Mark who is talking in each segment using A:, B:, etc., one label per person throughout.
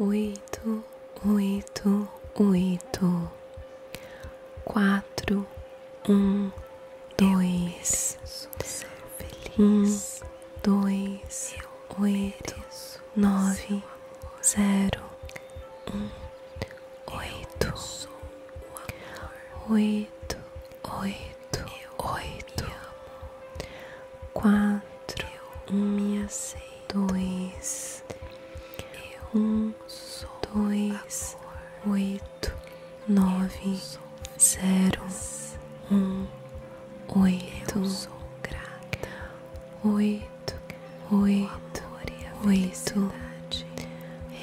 A: oito, oito, oito, quatro, um, dois, um, dois, oito, nove, zero, um, oito, oito, oito, oito, quatro, um, seis dois, um, dois, oito, nove, zero, um, oito, grata, oito, oito, oito,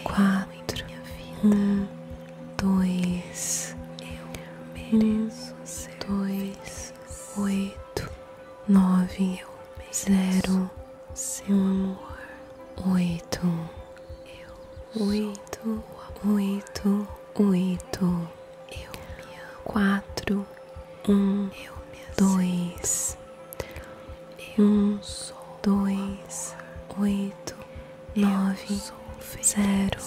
A: quatro, um, dois, um, dois, oito nove, zero, seu amor, oito, oito, oito, oito, eu, quatro, um, dois, um, dois, oito, nove, zero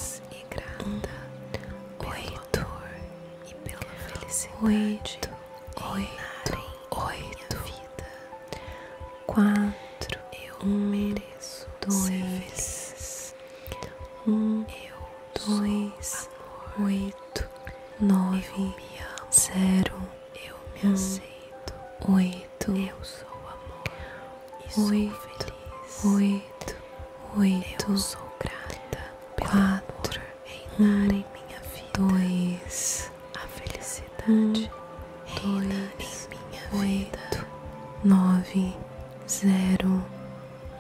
A: grata. oito. E pela felicidade. Oito. Oito. Oito. Vida. Quatro. Eu mereço. Dois. Um. Eu. Dois. Oito. Nove. Zero. Eu me aceito. Oito. Eu sou amor. E oito. feliz. Oito oito, eu sou grata quatro, um, em minha vida, dois, a felicidade um, em minha oito, nove, zero,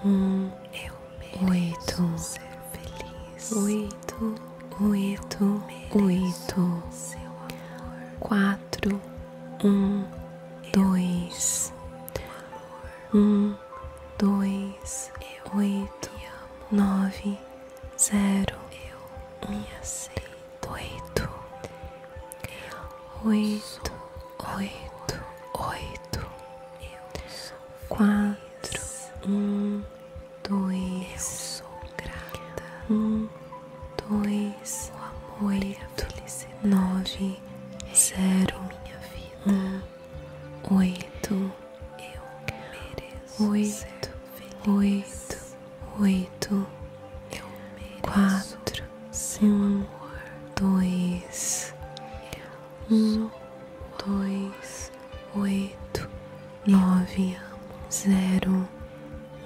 A: um, eu oito, ser feliz, oito, oito, oito, seu amor, quatro, um, dois, um dois, eu oito, amo, nove, zero, eu me aceito, oito, oito, oito, eu sou quatro, um, dois, sou grata, um, dois, o amor e a oito, nove, zero, minha vida, um, oito, eu mereço oito, oito, oito, eu mereço quatro, um, dois, um, dois, oito, nove, zero,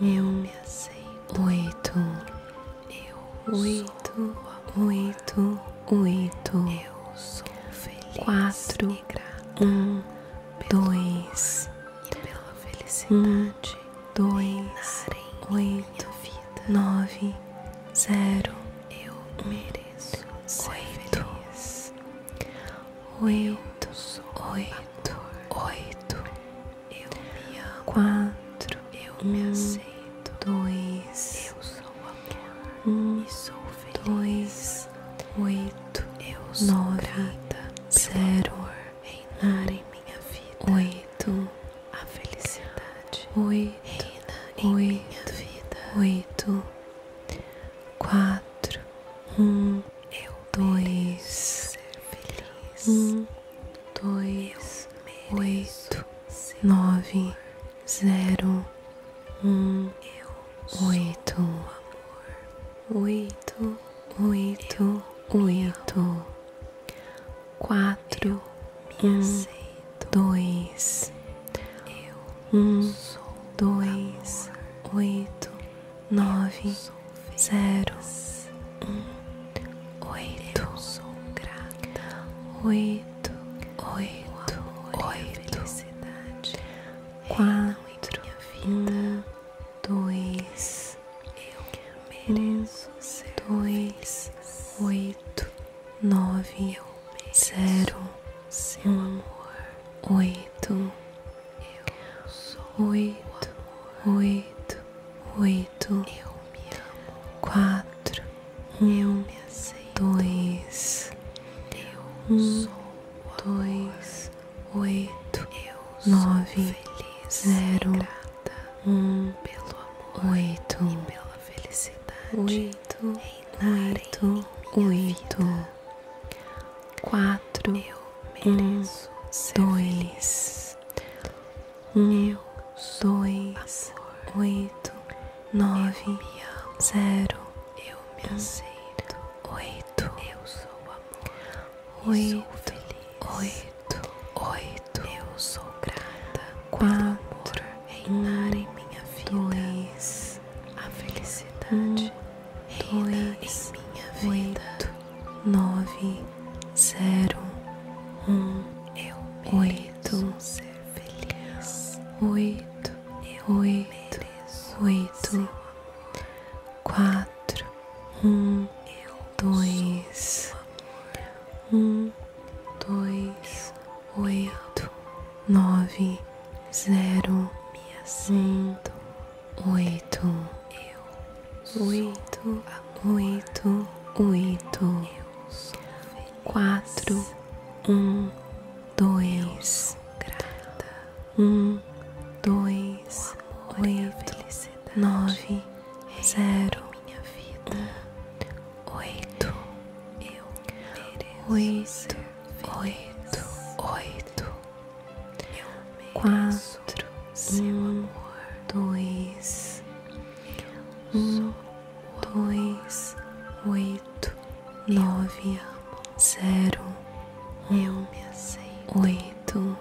A: eu me aceito, oito, eu oito, oito, oito. Eu sou feliz. Quatro, um, dois. E pela felicidade. Um, dois, oito, vida. nove, zero. Eu mereço ser oito, Oito, oito, oito. Eu me amo. Quatro, eu um, me aceito. Dois, eu sou um, dois, oito, nove, zero, reinar em minha vida, oito, a felicidade, oito, reina oito, vida, oito, quatro, um, eu dois, um, dois, oito, nove, zero, um, oito, amor, oito, oito, oito, quatro, eu, um, dois, eu, um, dois, oito, nove, zero, um, oito, grata, oito oito, oito, oito, quatro, um, dois, eu mereço dois, oito, nove, zero, um, oito, oito, oito, oito oito, eu me amo, quatro, um, eu me aceito, dois, eu um, dois, oito, eu nove, feliz, zero, um, pelo amor oito, pela felicidade, oito, oito, oito, vida. quatro, eu mereço, um, dois, um, dois, oito, nove, zero, eu me aceito, oito, eu sou amor, oito, oito, oito, eu sou grata, quatro, reinar em minha vida, dois, a felicidade, um, em minha vida, oito, nove, zero, um, eu mereço oito, ser Oito, eu oito, oito, quatro, um, dois, um, dois, oito, nove, zero, um, oito, eu, oito, oito, oito quatro, um, dois, grata, um, dois, oito, nove, zero, minha vida, oito, eu oito, oito, oito, quatro, um, dois, um dois, oito, nove, zero, eu me aceito oito,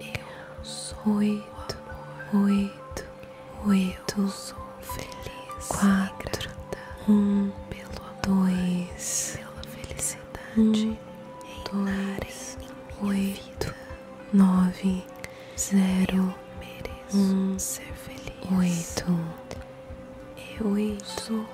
A: eu oito, oito, oito, feliz, quatro, um, pelo amor dois, pela um, dois, oito, nove zero, eu um, ser feliz. oito, eu oito,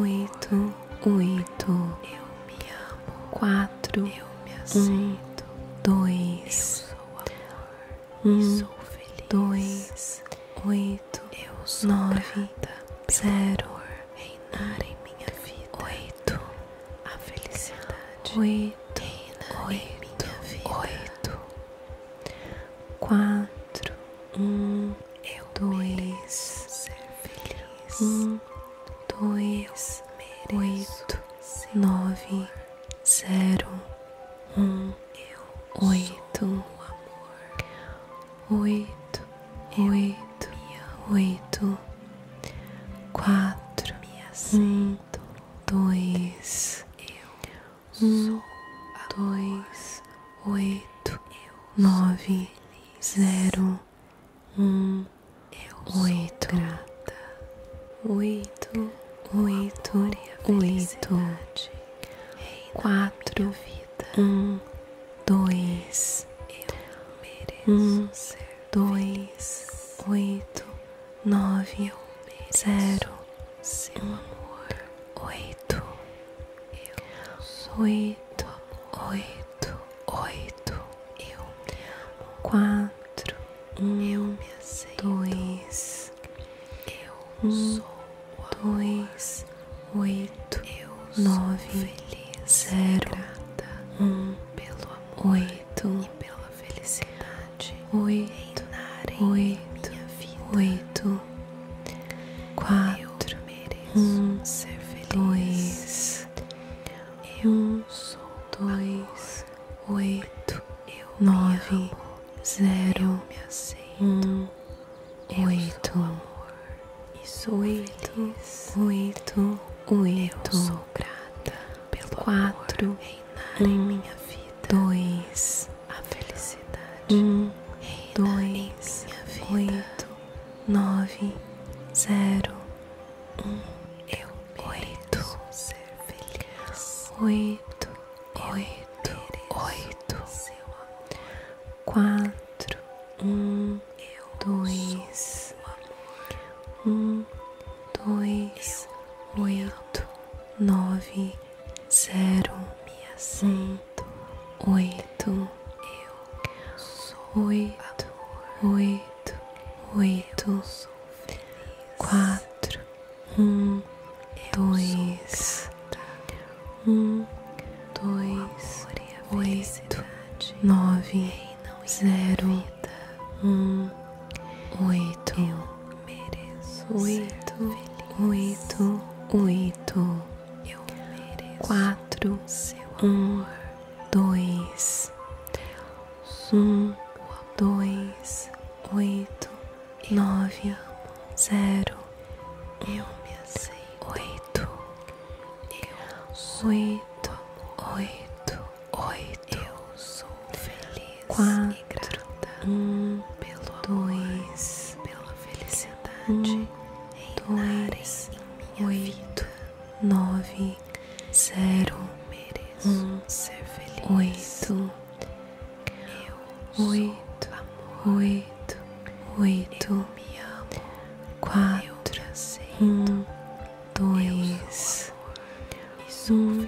A: oito, oito, eu me amo, quatro, eu me aceito, um, dois, eu sou amor, um, sou feliz, dois, oito, eu sou nove, zero, reinar em minha vida, oito, a felicidade, oito, oito, quatro, um, eu dois, ser feliz, um, dois, oito, nove, zero, um, eu oito, oito, oito, oito, quatro, um, dois, um, dois, oito, nove, zero, um, oito, oito, oito, oito, quatro, um, dois, um, dois, oito, nove, zero, seu amor, oito, oito, oito, oito, eu, quatro, um, eu me aceito, dois, eu um, dois, oito, eu nove, feliz, zero, um, pelo amor oito, e pela felicidade oito oito oito quatro um ser feliz dois um dois oito nove zero um oito oito oito oito grata pelo quatro reinar um, em minha vida. Dois, a felicidade. Um, dois, em vida. oito, nove, zero, um, eu oito, ser feliz. Oito, oito, oito, quatro, um, eu dois. Sou um, dois, oito, nove, zero, me um, oito, oito, oito, oito, quatro, um, dois, um, dois, oito, nove, zero. Um, oito. Eu mereço oito, oito, oito. Eu mereço quatro, seu um, dois, um, dois, oito, nove, zero. Eu me aceito. oito, oito, oito. Eu sou feliz Quatro, e um, pelo amor, dois, pela felicidade um, dois, em minha oito, vida. nove, zero, mereço um, ser feliz. Oito, eu oito, sou amor. oito, oito, eu me amo, quatro, um, dois, um,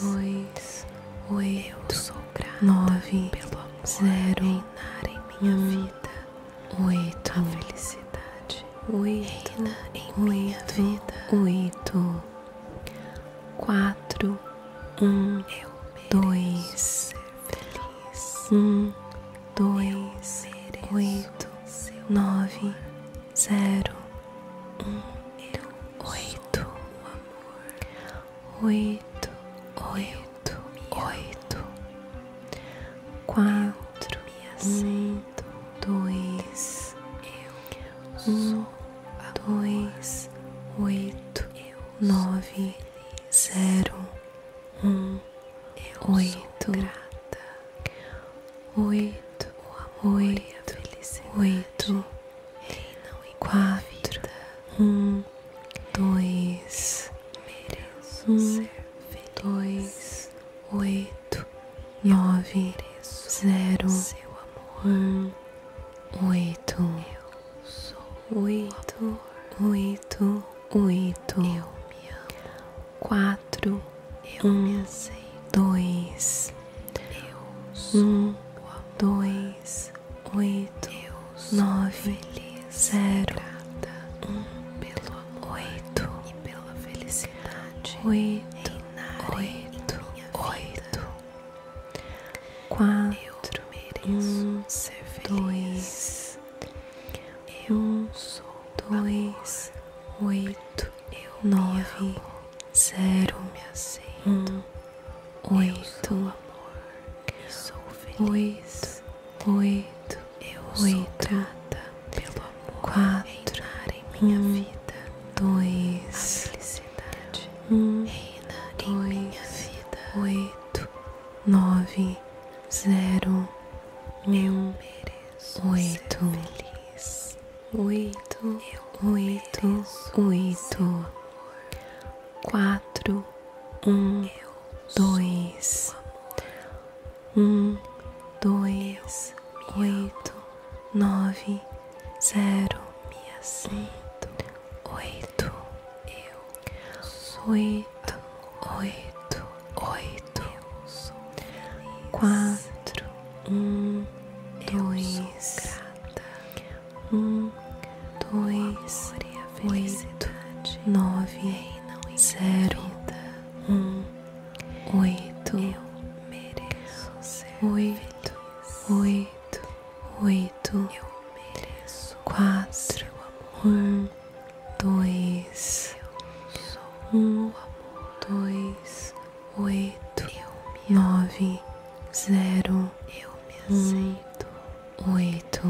A: dois, oito, nove, zero, minha vida, oito, a felicidade, oito, em minha vida, oito, quatro, um, dois, um, dois, oito, nove, zero um, oito, oito, oito, oito, quatro, um, dois, um, dois, oito, nove, zero, um, oito oito, o amor oito, a felicidade oito, reinam quatro, um, dois, mereço um, ser feliz. dois, oito, nove, zero, seu amor, um, oito, eu sou oito, oito, oito, eu me amo quatro, eu um, Dois, Deus, um, dois, oito, nove, zero, um, pelo amor oito, e pela felicidade. Oito, oito, oito, quatro, um, Dois, eu um, dois, oito. Eu nove zero um oito amor, oito oito eu oito pelo amor quatro minha um, vida dois a felicidade um reina em minha vida oito nove zero eu mereço oito oito, oito, oito, quatro, um, dois, um, dois, oito, nove, zero, um, oito, oito, oito oito, quatro, um, dois, um, dois, oito, nove, zero, um, oito, oito, oito, oito, quatro, um, dois, um, dois, oito, nove, zero, eu me aceito, oito,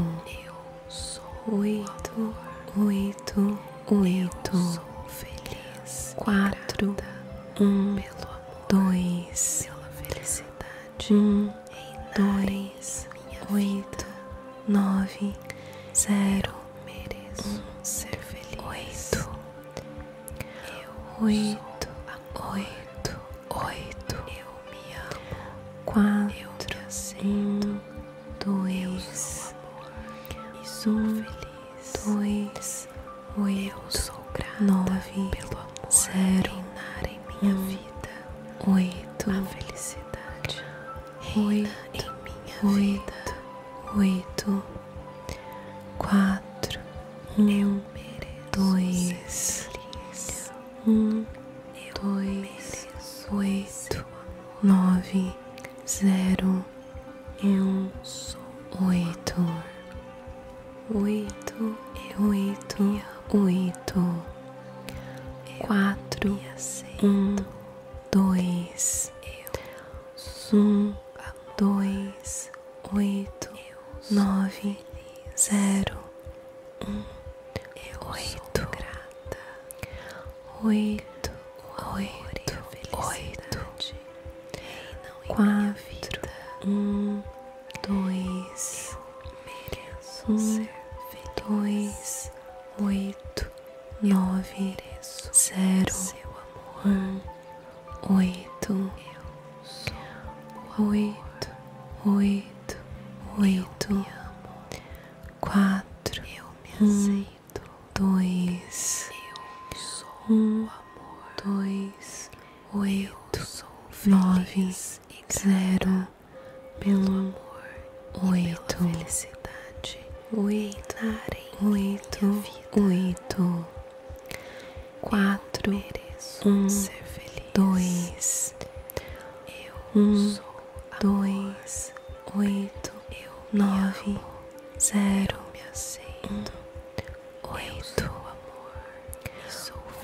A: eu sou oito, oito, oito, sou feliz, quatro, um, dois, felicidade, um, dois, oito, nove, zero mereço um, ser feliz. Oito, eu oito, oito, oito. Eu me amo. Quatro, eu Um, dois, eu sou Um, feliz. Dois, oito, eu sou grata nove, pelo amor zero, reinar em minha um, vida. Oito, a felicidade reina oito, minha oito, Oito, quatro, um, eu dois, um, eu dois, oito, nove, zero, um, oito, oito, oito, oito, quatro, um, dois um dois oito nove zero um oito oito oito oito quatro um dois um dois oito nove, zero, um, oito, oito, oito, oito, quatro, um, dois, um, dois, oito, nove, zero, pelo amor, oito, felicidade oito, oito, oito, quatro, um, dois, um, dois, oito, nove, zero, um, oito,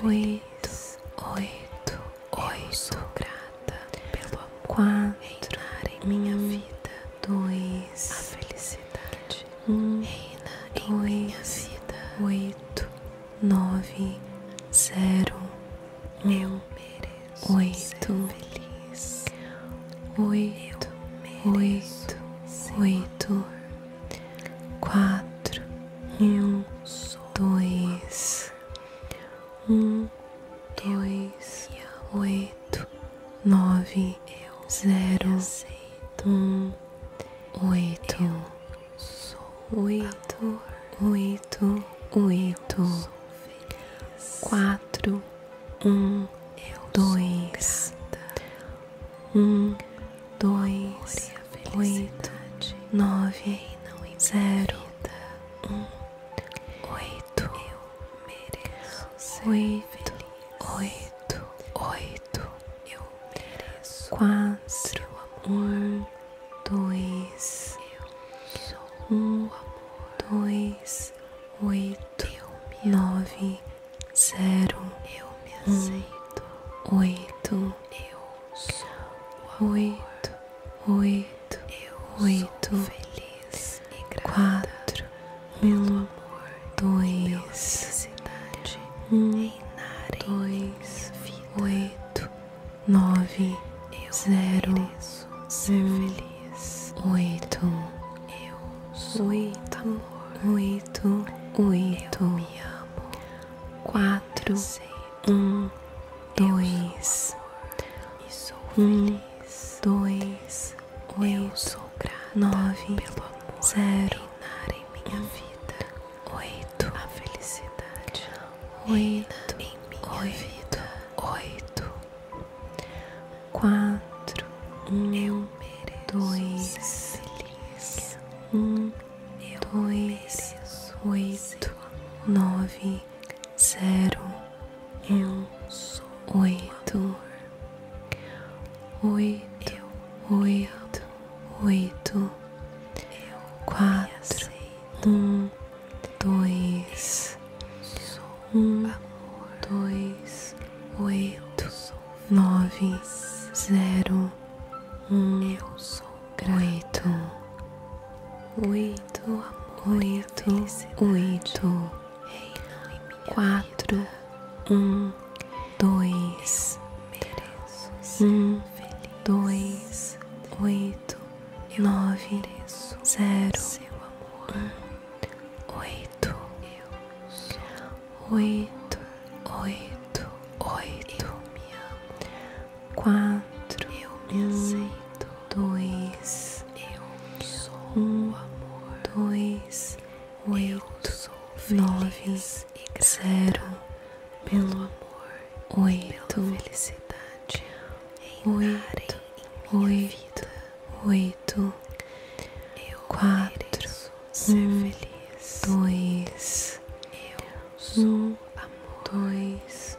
A: oito, oito, oito pelo quatro, em minha vida. Dois, a felicidade um, reina dois, em minha vida. Oito, nove, zero. Um, oito, feliz. Oito, oito, oito. Quatro, um, dois, um dois, oito, nove, zero, um, oito, oito, oito, oito, quatro, um, dois, um, dois, oito, nove, zero, um, oito mereço oito, oito, oito, eu quatro, um, dois, eu sou um, dois, oito, eu nove, zero, eu me aceito, oito, eu sou oito, oito oito, feliz e quatro, meu amor, dois, um, dois, oito, nove, zero, feliz, oito, oito, amor, oito, oito, quatro, um, dois, um eu três, dois, oito, nove, zero, em minha vida, oito, a felicidade, oito, em minha vida, oito, quatro, um, eu dois, feliz, um, eu dois, oito, nove zero um oito oito oito oito quatro um dois um dois oito nove zero um oito oito oito, oito, oito, quatro, um, dois, um, dois, oito, nove, zero, um, oito, oito, oito, oito, quatro, eu aceito dois, eu sou um, amor, dois, oito, sou nove, zero, pelo amor, oito, felicidade, oito, oito, oito, quatro, ser feliz, dois, eu um, amor, dois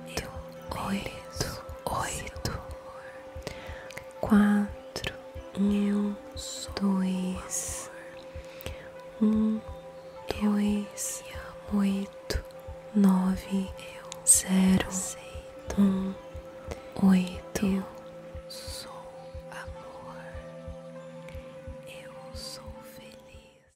A: oito, oito, oito, quatro, um, dois, um, dois, oito, nove, zero, um, oito.